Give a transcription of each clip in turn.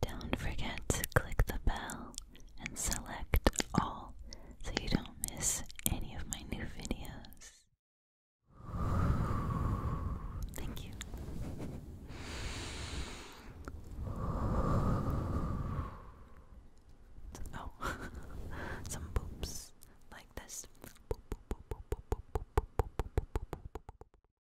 Don't forget to click the bell and select all so you don't miss any of my new videos. Thank you. Oh, some boops like this.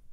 Your ear.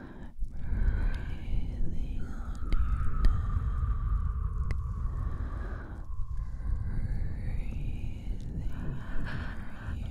breathing on your neck, breathing in your ear, breathe, breathe, breathe, breathe. Breathe.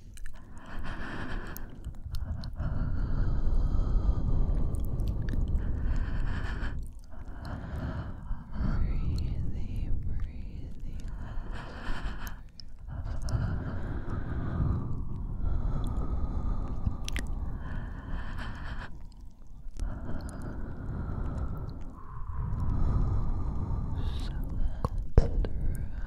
Breathing, breathing. So cold.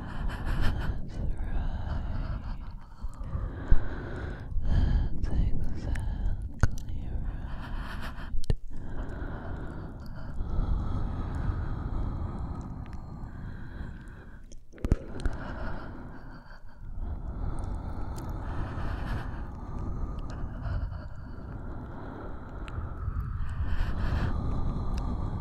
That's exactly right.